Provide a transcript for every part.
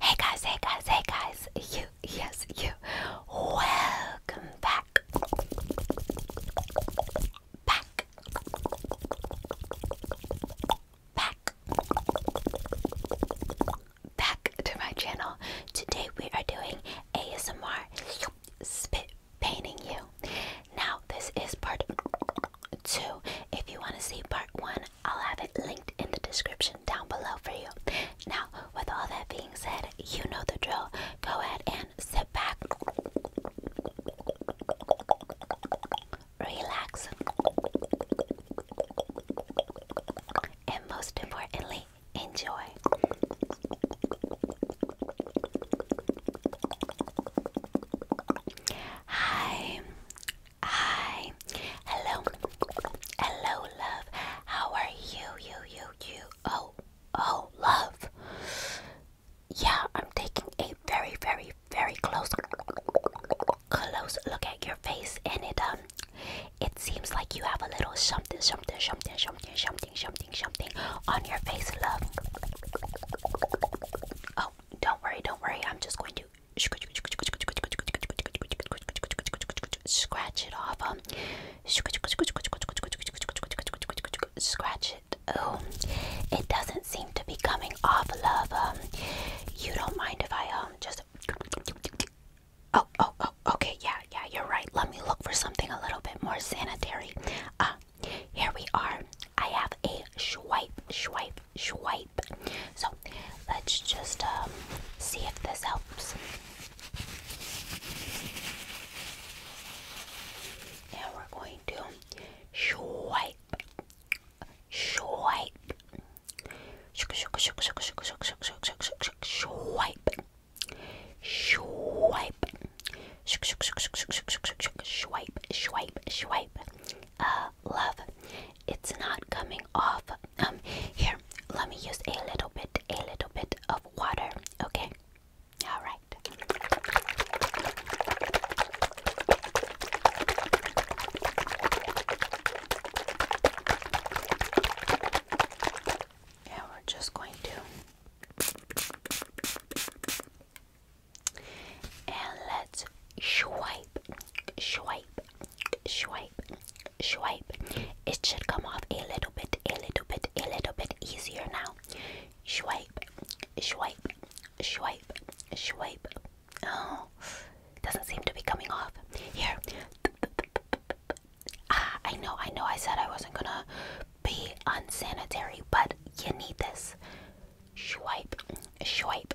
Hey guys, hey guys, hey guys, you, yes, you, welcome back, back, back, back to my channel. Today we are doing ASMR spit painting you. Now, this is part two. If you want to see part one, I'll have it linked in the description down below for you. Now, with all that being said, you know the drill. Go ahead and sit back, relax, and most importantly, enjoy. Hi. Hi. Hello. Hello, love. How are you? You, you, you. Oh, oh, love. Yeah, I'm taking a very, very, very close, close look at your face, and it um, it seems like you have a little something, something, something, something, something, something, on your face, love. Oh, don't worry, don't worry. I'm just going to scratch it off. Um. scratch it. Oh, it doesn't seem to be coming off, love. you don't mind if I um just. Oh, oh, oh. Okay, yeah, yeah. You're right. Let me look for something a little bit more sanitary. Uh, here we are. I have a swipe, swipe, swipe. So let's just see if this helps. And we're going to swipe, swipe, swipe, swipe, Swipe, swipe, swipe. Uh, love. It's not coming off. Um, here, let me use a little bit, a little bit of water. Okay. All right. And we're just going to and let's swipe, swipe, swipe, swipe. It should come off a little bit, a little bit, a little bit easier now. Swipe, swipe, swipe, swipe. Oh, doesn't seem to be coming off. Here. Ah, I know, I know I said I wasn't gonna be unsanitary, but you need this. Swipe, swipe,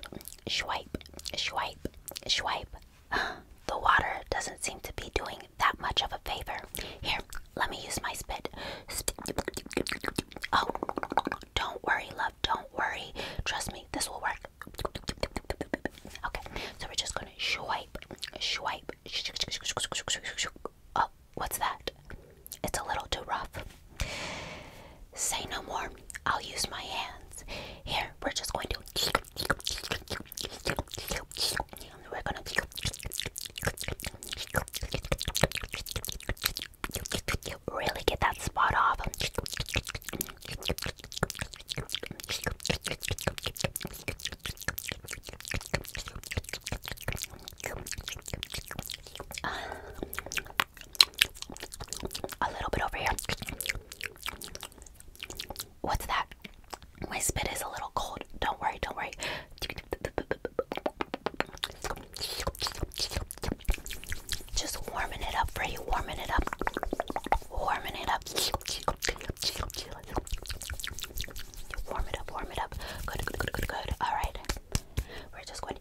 swipe, swipe, swipe. The water doesn't seem to be doing that much of a favor. Here, let me use my spit. Oh, don't worry, love, don't worry. Trust me, this will work. Okay, so we're just gonna swipe, swipe, Oh, what's that? It's a little too rough. Say no more. I'll use my hands. Here, we're just going to. We're gonna. Really get that spot off. A little bit over here. What's that? My spit is a little cold. Don't worry, don't worry. Just warming it up for you, warming it up, warming it up. Warm it up, warm it up. Good, good, good, good, All right. We're just going to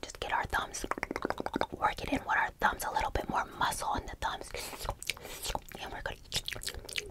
just get our thumbs, work in with our thumbs, a little bit more muscle in the thumbs, and we're going to.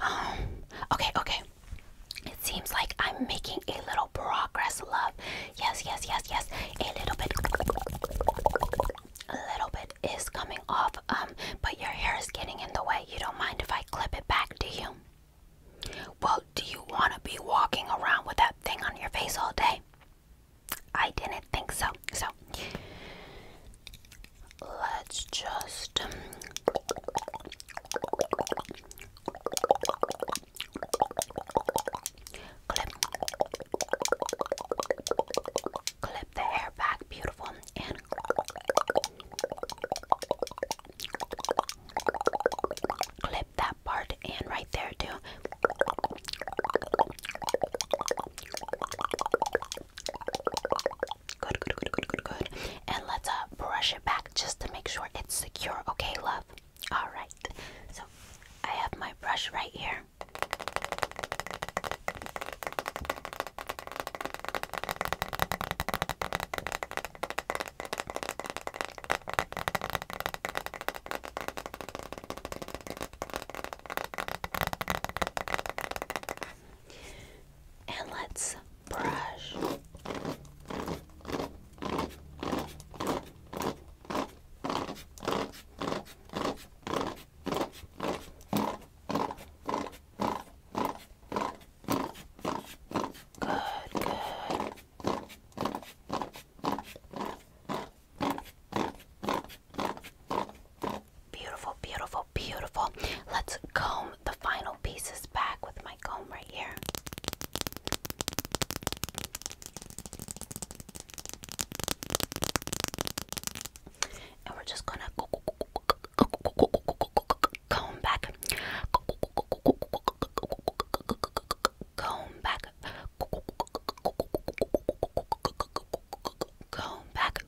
Oh, okay, okay. It seems like I'm making a little progress, love. Yes, yes, yes, yes. A little bit. A little bit is coming off, um, but your hair is getting in the way. You don't mind if I clip it back, do you? Well, do you want to be walking around with that thing on your face all day? I didn't think so. So let's just. Um, clip, clip the hair back, beautiful, and clip that part, and right there too. Good, good, good, good, good, good. And let's uh, brush it back just to make sure it's secure. Okay, love? Alright. So I have my brush right here. And let's brush. Good, good. Beautiful, beautiful, beautiful. Let's comb the final pieces back with my comb right here. And we're just gonna comb back, comb back, Come back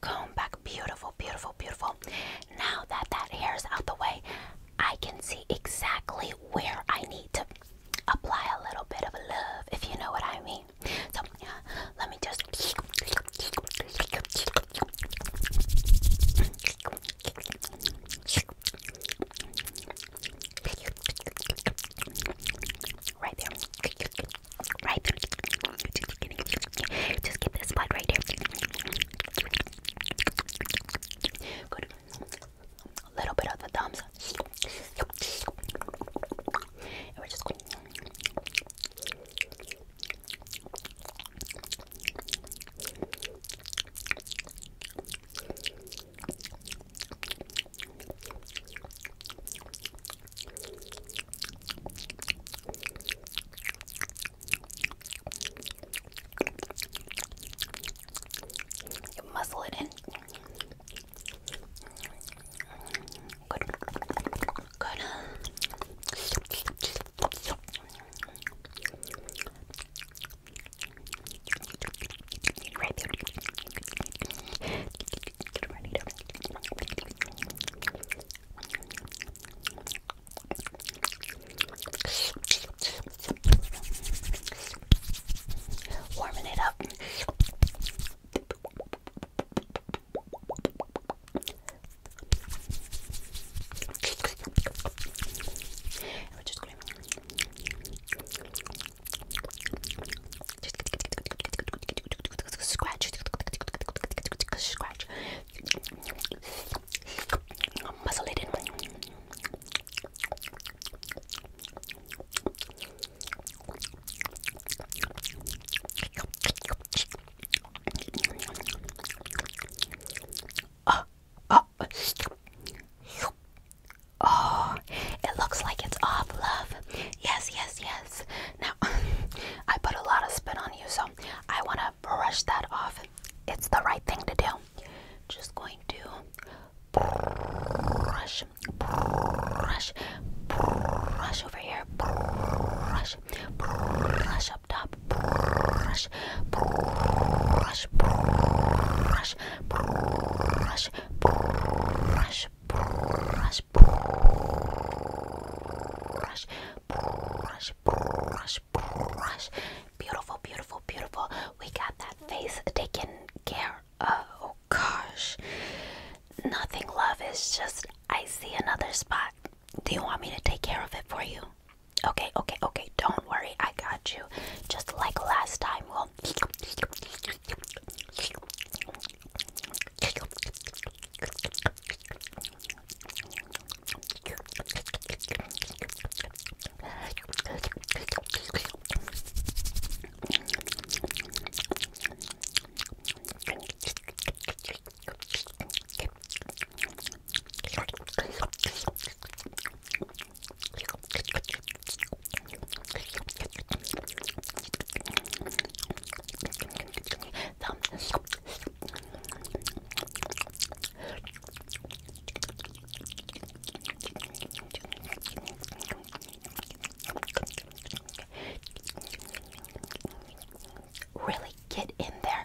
comb back beautiful beautiful beautiful now that that hair is out the way i can see exactly where i need to apply a little bit of love if you know what i mean so let me just Right there. Right there. Just get this spot right there. Good. A little bit of the thumbs. And we're just going. You muzzle it in. Good. Good. Right there. Get ready to warming it up. And we're just going to Scratch, scratch, muzzle it in. Oh, oh, Oh, it looks like it's off, love. Yes, yes, yes. Now, I put a lot of spit on you, so I want to brush that off. It's the right thing to do. Just going to brush, brush, brush over here, brush, brush up top, brush, brush, brush brush, brush, brush, brush, brush, brush, brush, brush. Beautiful, beautiful, beautiful. We got that face taken care of. Oh gosh. Nothing, love, is just I see another spot. Do you want me to take care of it for you? Okay, okay, okay. Don't worry. I got you. Just like last time, we'll. Really get in there.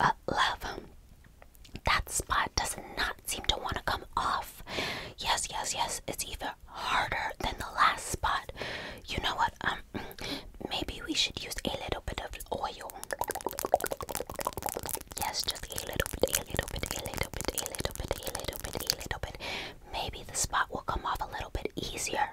Uh, love, that spot does not seem to want to come off. Yes, yes, yes. It's even harder than the last spot. You know what? Um, maybe we should use a little bit of oil. Yes, just a little bit, a little bit, a little bit, a little bit, a little bit, a little bit. Maybe the spot will come off a little bit easier.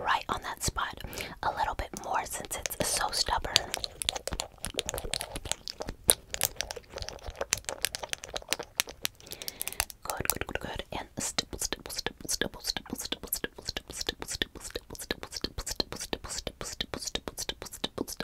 right on that spot a little bit more since it's so stubborn. Good, good, good, good. And stipple, stipple, stipple, stipple, stipple, stipple, stipple, stipple, stipple, stipple, stipple, stipple, stipple, stipple, stipple, stipple, stipple,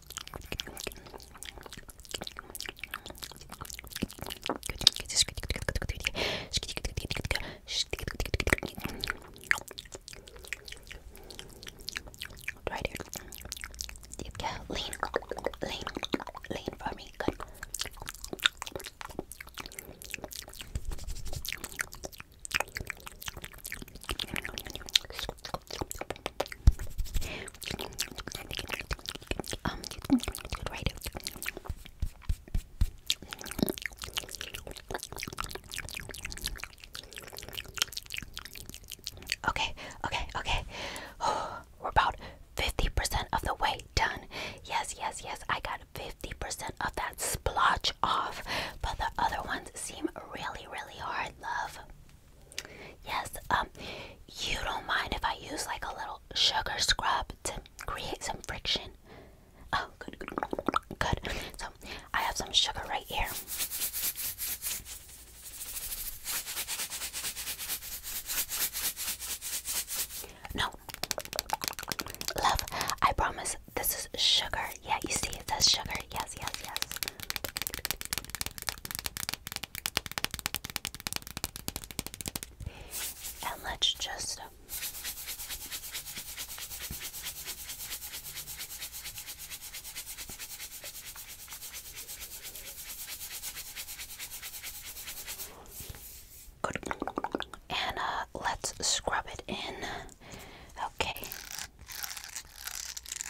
Right here. Yeah, lean, lean, lean for me. Good. Um, right. Okay, okay, okay. We're about 50% of the way done. Yes, yes, yes. I got 50% of that splotch off, but the other ones seem really, really hard, love. Yes, um, you don't mind if I use like a little sugar scrub to create some friction. Oh, good, good, good, So I have some sugar right here. No, love, I promise this is sugar. Yeah, you see, it says sugar. Yes, yes, yes. And let's just uh, And uh, let's scrub it in. Okay.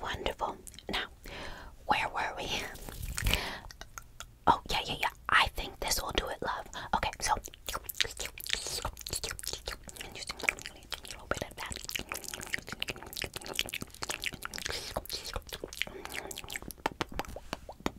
Wonderful. Now, where were we? Oh, yeah, yeah, yeah. I think this will do it, love. Okay, so.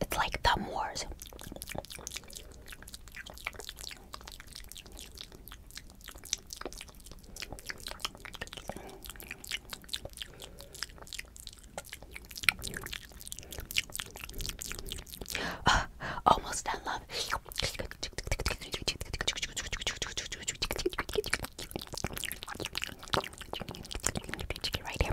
It's like Thumb Wars. almost done, love. Right here.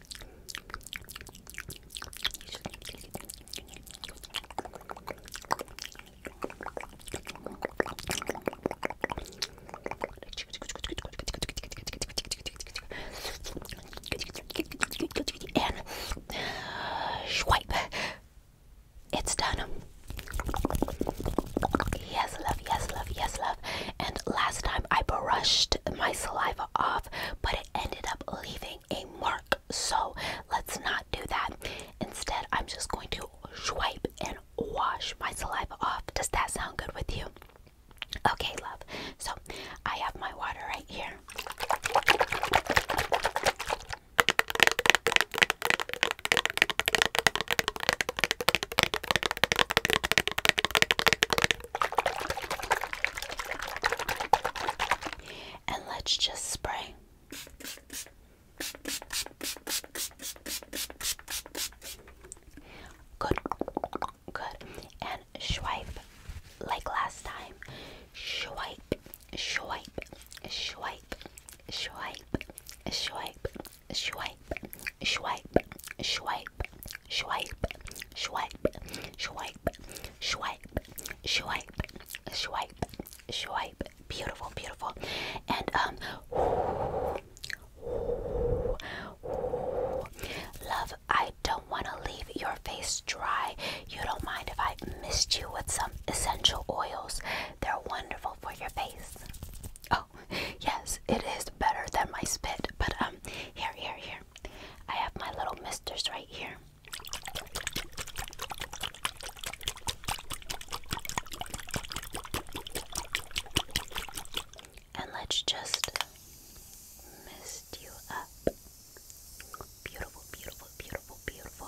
And swipe. It's done. Yes, love. Yes, love. Yes, love. And last time. I brushed my saliva off, but it ended up leaving a mark. So let's not do that. Instead, I'm just going to swipe and wash my saliva off. Does that sound good with you? Okay, love. So I have my water right here. And let's just spray. Good, good. And swipe like last time. Swipe, swipe, swipe, swipe, swipe, swipe, swipe, swipe, swipe, swipe, swipe, swipe, swipe, swipe, swipe. Beautiful, beautiful. And um love, I don't want to leave your face dry. You don't mind if I mist you with some essential oils. They're wonderful for your face. Oh, yes, it is better than my spit. But um, here, here, here. I have my little misters right here. And let's just mist you up. Beautiful, beautiful, beautiful, beautiful.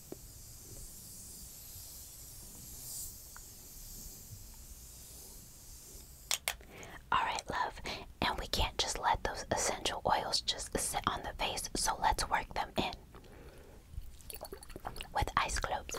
Alright, love, and we can't just let those essential oils just sit on the face, so let's work them in with ice cubes.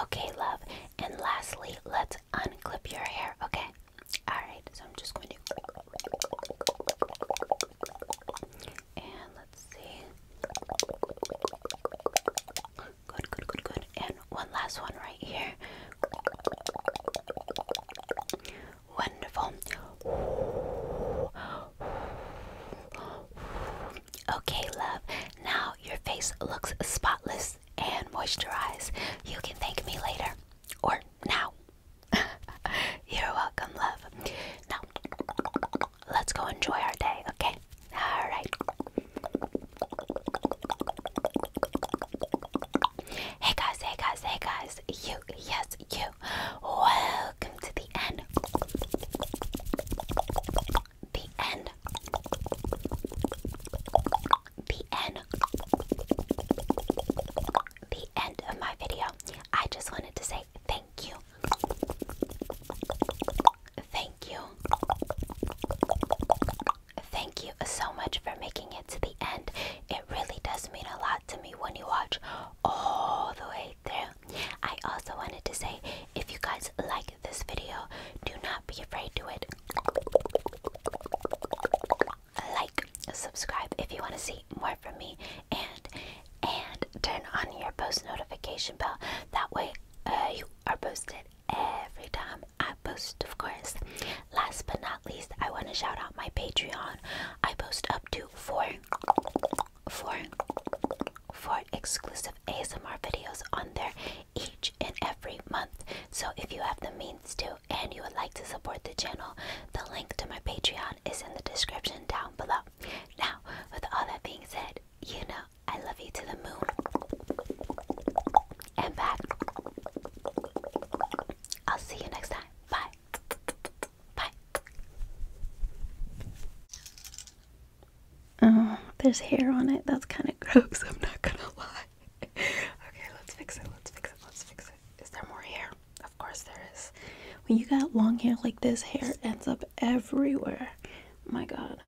Okay, love. And lastly, let's unclip your hair, okay? Alright, so I'm just going to. And let's see. Good, good, good, good. And one last one right here. Wonderful. Okay, love. Now your face looks spotless and moisturized. You can thank me later or now. You're welcome, love. Now, let's go enjoy our day, okay? All right. Hey guys, hey guys, hey guys. You, yes, you. Welcome to the end. The end. The end. The end of my video. I just wanted to say thank you. Thank you. Thank you so much for making it to the end. It really does mean a lot to me when you watch all the way through. I also wanted to say if you guys like this video, do not be afraid to it. Like, subscribe if you want to see more from me and and turn on your post notification bell. That way uh, you are posted every time I post, of course. Last but not least, I want to shout out my Patreon. I post up to four, four, four exclusive ASMR videos on there each and every month. So if you have the means to and you would like to support the channel, the link to my Patreon is in the description down below. Now, with all that being said, you know I love you to the moon and back. I'll see you next time. Bye. Bye. Oh, there's hair on it. That's kind of gross. I'm not gonna lie. okay, let's fix it. Let's fix it. Let's fix it. Is there more hair? Of course there is. When you got long hair like this, hair ends up everywhere. my god.